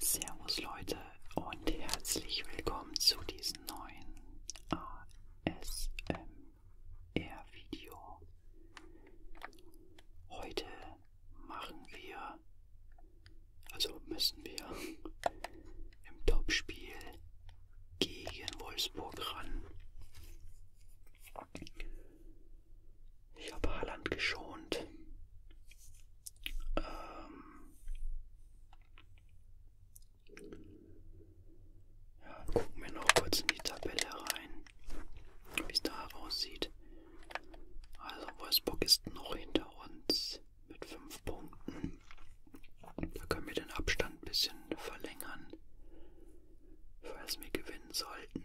Servus Leute und herzlich willkommen zu diesem neuen ASMR-Video. Heute machen wir, also müssen wir im Topspiel gegen Wolfsburg ran. Ich habe Haaland geschont. Ähm ja, gucken wir noch kurz in die Tabelle rein, wie es da aussieht. Also Wolfsburg ist noch hinter uns mit 5 Punkten. Da können wir den Abstand ein bisschen verlängern falls wir gewinnen sollten.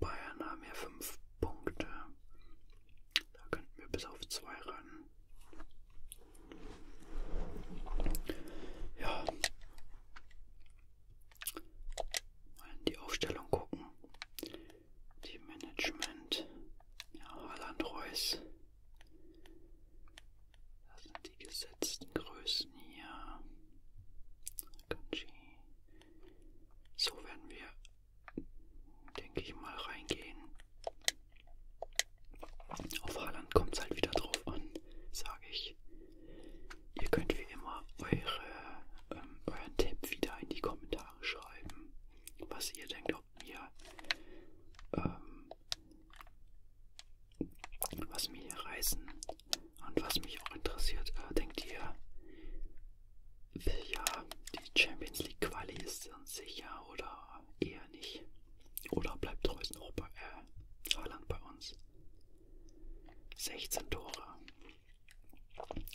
Bayern haben ja 5 Punkte. Da könnten wir bis auf 2 ran. Ja. Mal in die Aufstellung gucken. Die Management. Ja, Haaland Reus. Das sind die gesetzten Größen hier. Kanji. So werden wir, denke ich mal, reingehen. Auf Haaland kommt es halt wieder drauf an, sage ich. Ihr könnt wie immer eure, ähm, euren Tipp wieder in die Kommentare schreiben, was ihr denkt, ob mir, ähm, was mir hier Reisen und was mich auch interessiert, äh, denkt ihr, ja, die Champions League Quali ist uns sicher oder eher nicht? Oder bleibt Reus noch bei äh, Haaland bei uns? 16 Tore.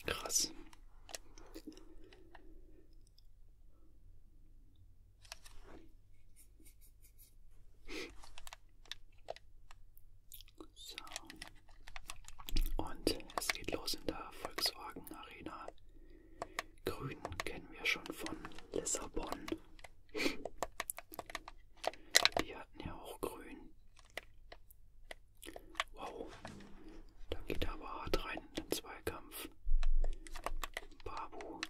Krass. So. Und es geht los in der Volkswagen Arena. Grün kennen wir schon von Lissabon. Die hatten ja auch grün. Wow. Da geht er aber hart rein in den Zweikampf. Babu.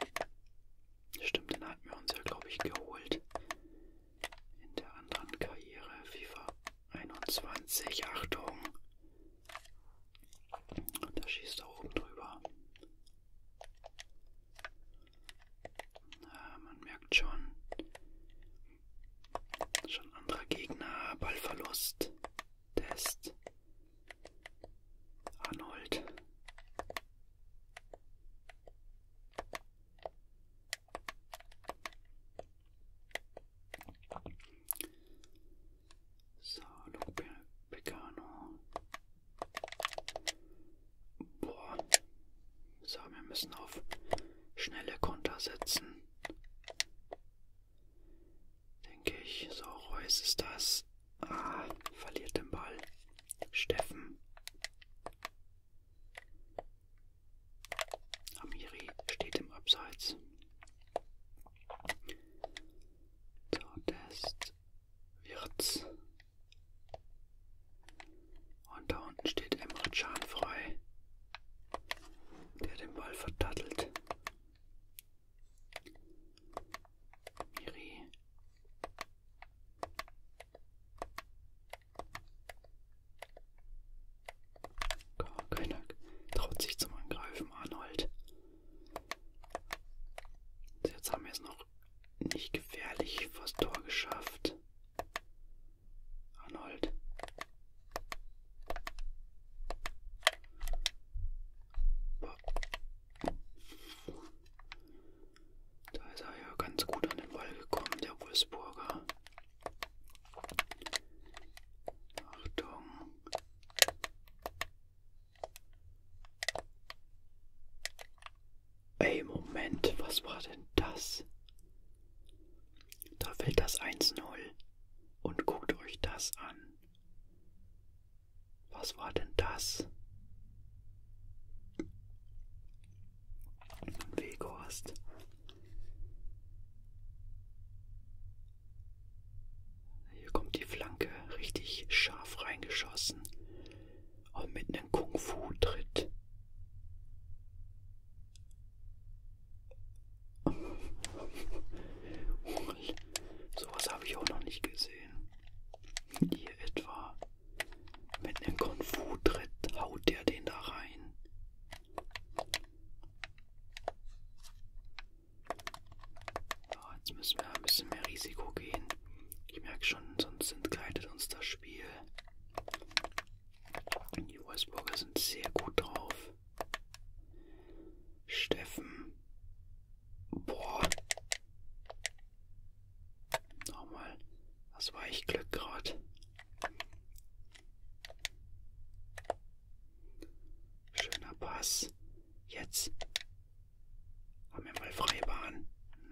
Stimmt, den hatten wir uns ja, glaube ich, geholt in der anderen Karriere FIFA 21. Achtung! Da schießt er oben drüber. Na, man merkt schon, schon anderer Gegner, Ballverlust, Test. Arnold so, Lupe Pecano. Boah. So, wir müssen auf schnelle Konter setzen. Denke ich. So, Reus ist das. Ah, verliert den Ball. Steffen, Amiri steht im Abseits. Test wird's. Und da unten steht Emre Can frei, der den Ball vertattelt. Miri keiner traut sich zum Angreifen, Arnold. Jetzt haben wir es noch nicht gefährlich vors Tor geschafft. Arnold. Boah. Da ist er ja ganz gut an den Ball gekommen, der Wolfsburger. Achtung. Ey, Moment, was war denn das? Da fällt das 1-0. Und guckt euch das an. Was war denn das? Weghorst. Hier kommt die Flanke richtig scharf reingeschossen und mit einem Kung-Fu-Tritt. Sowas habe ich auch noch nicht gesehen. Ihr etwa. Mit einem Konfu tritt, haut der den da rein. Ja, jetzt müssen wir ein bisschen mehr Risiko gehen. Ich merke schon, sonst entgleitet uns das Spiel. Die Wolfsburger sind sehr gut drauf. Steffen Boah. Nochmal. Was war ich Glück gerade? Schöner Pass. Jetzt. Haben wir mal freie Bahn.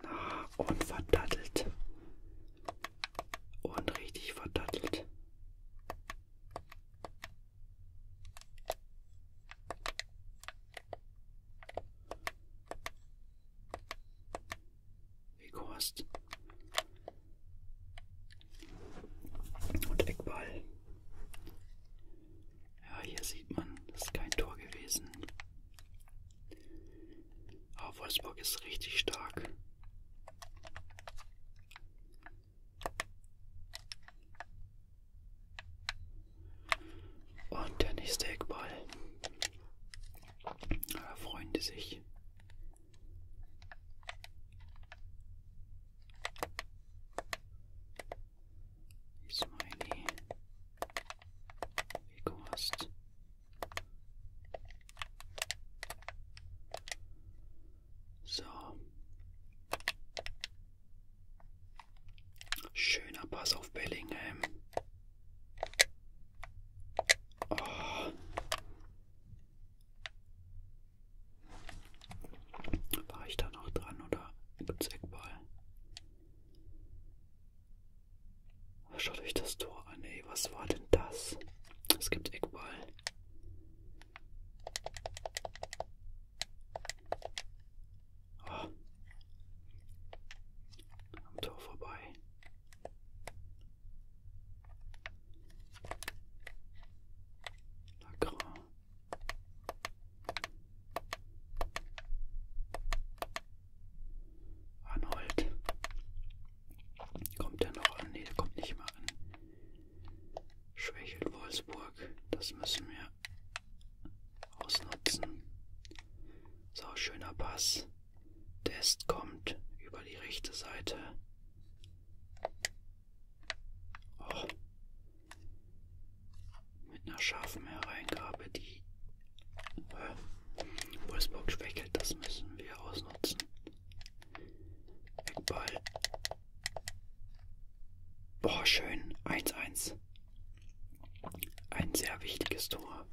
Na, und verdattelt. Und richtig verdattelt. Weghorst. Und Eckball. Ja, hier sieht man, das ist kein Tor gewesen. Aber Wolfsburg ist richtig stark. Und der nächste Eckball. Da freuen die sich. Smiley. Wie du hast. So. Schöner Pass auf Bellingham. Oh. War ich da noch dran oder gibt's Eckball? Schaut euch das Tor an, ey. Was war denn das? Es gibt Eckball. Oh. Am Tor vorbei. Lacra. Arnold. Kommt der noch an? Nee, der kommt nicht mehr an schwächelt Wolfsburg. Das müssen wir ausnutzen. So, schöner Pass. Test kommt über die rechte Seite. Oh. Mit einer scharfen Hereingabe, die äh, Wolfsburg schwächelt, das müssen wir ausnutzen. Eckball. Boah, schön. 1-1. Ein sehr wichtiges Tor.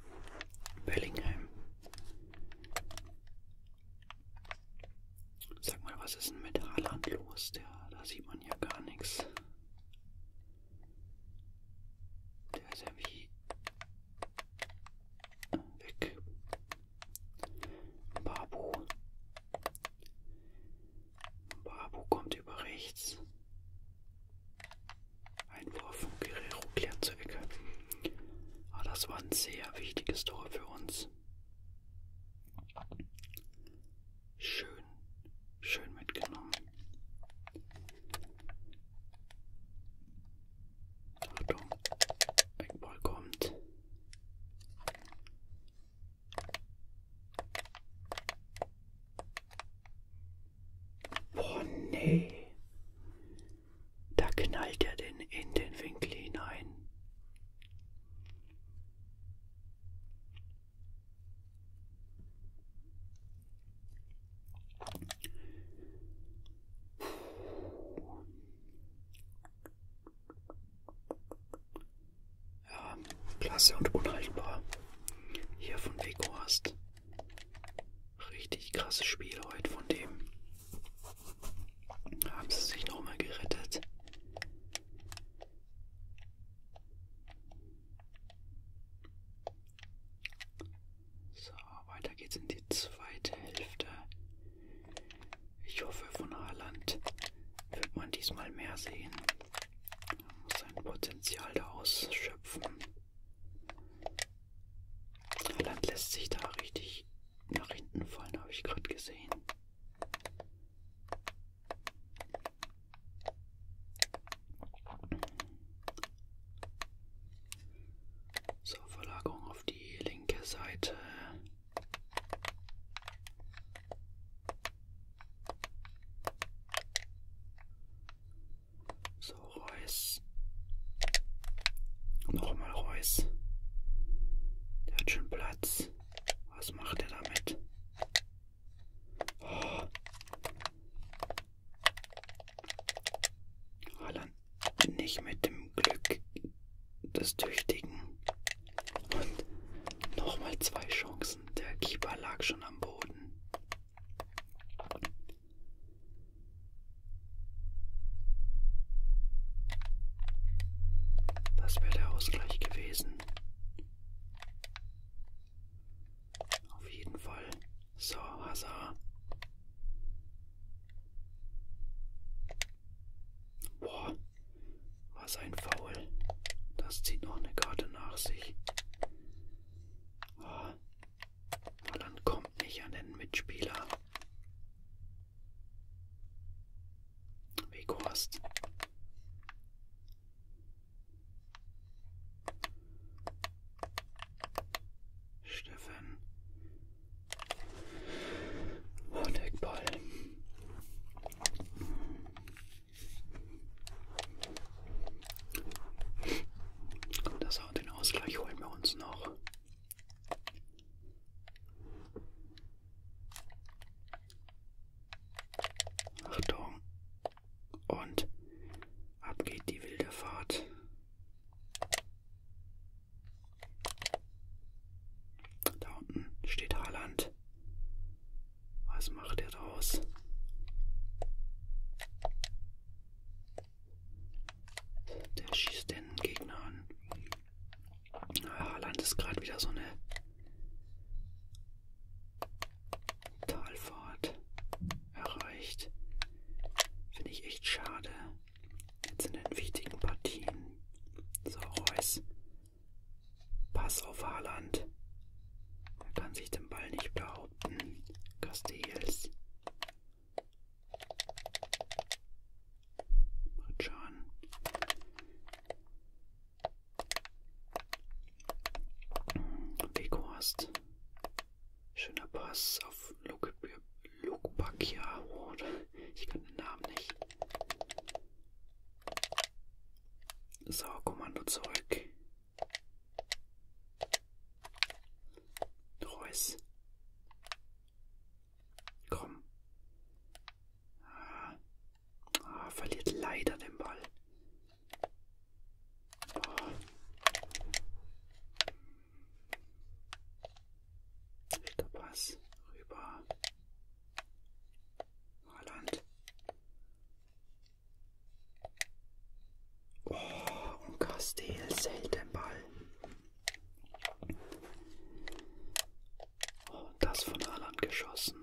Bellingham. Sag mal, was ist denn mit Haaland los? Der, da sieht man ja gar nichts. Der ist ja wie äh, weg. Babu. Babu kommt über rechts. Einwurf von Guerrero klärt zur Ecke. Aber ah, das war ein sehr wichtiges Tor für uns. Schön, schön mitgenommen. Achtung, Eckball kommt. Oh nee. Da knallt er denn in den Winkel hinein. Ja, klasse und unhaltbar. Hier von Vico hast. Richtig krasses Spiel heute von dem. Haben sie sich nochmal gerettet. So, weiter geht's in die zweite Hälfte. Ich hoffe, von Haaland wird man diesmal mehr sehen. Man muss sein Potenzial da ausschöpfen. Haaland lässt sich da richtig nach hinten fallen, habe ich gerade gesehen. So, Verlagerung auf die linke Seite. So, Reus. Nochmal Reus. Der hat schon Platz. Was macht er damit? Oh. Holland bin ich mit dem Glück des Tüchtigen. Und nochmal zwei Chancen. Der Keeper lag schon am Boden. Das wäre der Ausgleich gewesen. Auf jeden Fall. So, Hazard. Boah, was ein Foul. Das zieht noch eine Karte nach sich. Oh, Holland kommt nicht an den Mitspieler. Weghorst. Steffen. Und Eckball. Und das auch den Ausgleich holen wir uns noch. Achtung. Und ab geht die wilde Fahrt. Da unten steht Haaland. Was macht er draus? Der schießt den Gegner an. Ah, Haaland ist gerade wieder so eine Talfahrt erreicht. Finde ich echt schade. Jetzt in den wichtigen Partien. So, Reus. Pass auf Haaland. Er kann sich den Ball nicht behaupten. Castells. Ritschan. Weghorst. Schöner Pass auf Lukebakia. Ich kann den Namen nicht. So, Kommando zurück. Reus. Komm. Ah. ah, verliert leider den Ball. Oh. Schlechter Pass rüber. Haaland. Oh, und Castell selten Ball. Oh, das von Haaland geschossen.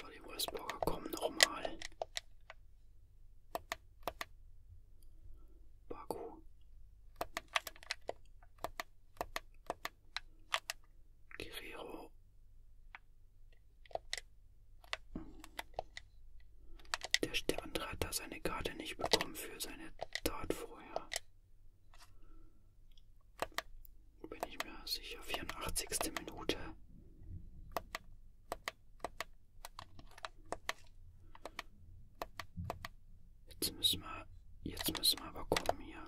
So, die Wolfsburger kommen nochmal. Baku. Guerrero. Der, der andere hat da seine Karte nicht bekommen für seine Tat vorher. Bin ich mir sicher, 84. Minute. Jetzt müssen wir, jetzt müssen wir aber kommen hier.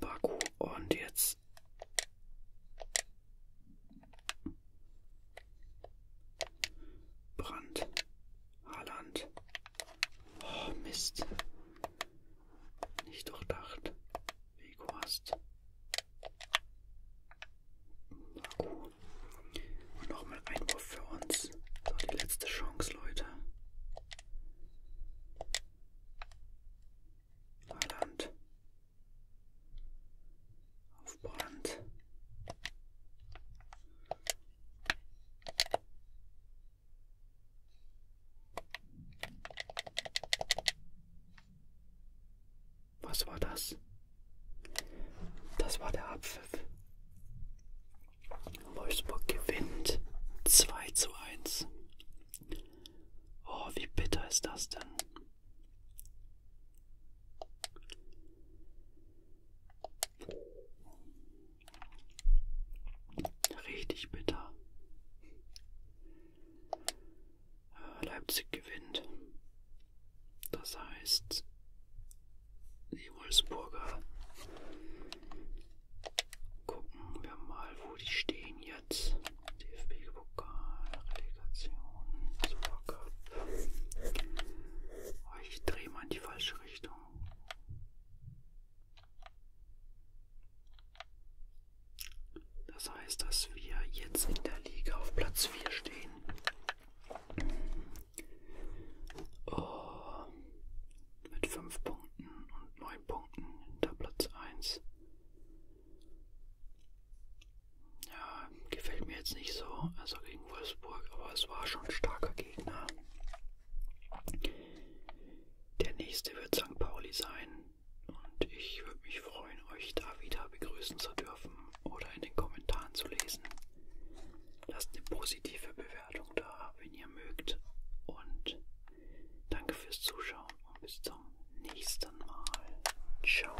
Baku und jetzt. Brand, Haaland, Oh, Mist. Nicht durchdacht. Wego hast. Akku. Und nochmal Einwurf für uns. So, die letzte Chance, Leute. Holland. Auf Brand. Was war das? Das war der Abpfiff. Wolfsburg gewinnt 2 zu 1. Oh, wie bitter ist das denn? Richtig bitter. Leipzig gewinnt. Das heißt, die Wolfsburger gucken wir mal, wo die stehen jetzt. DFB-Pokal, Relegation, Supercup. Oh, ich drehe mal in die falsche Richtung. Das heißt, dass wir jetzt in der Liga auf Platz 4 stehen. Oh, mit 5 Punkten und 9 Punkten hinter Platz 1. Ja, ähm, gefällt mir jetzt nicht so, also gegen Wolfsburg, aber es war schon ein starker Gegner. Der nächste wird St. Pauli sein und ich würde mich freuen, euch da wieder begrüßen zu dürfen oder in den Kommentaren zu lesen. Lasst eine positive Bewertung da, wenn ihr mögt. Und danke fürs Zuschauen und bis zum nächsten Mal. Ciao.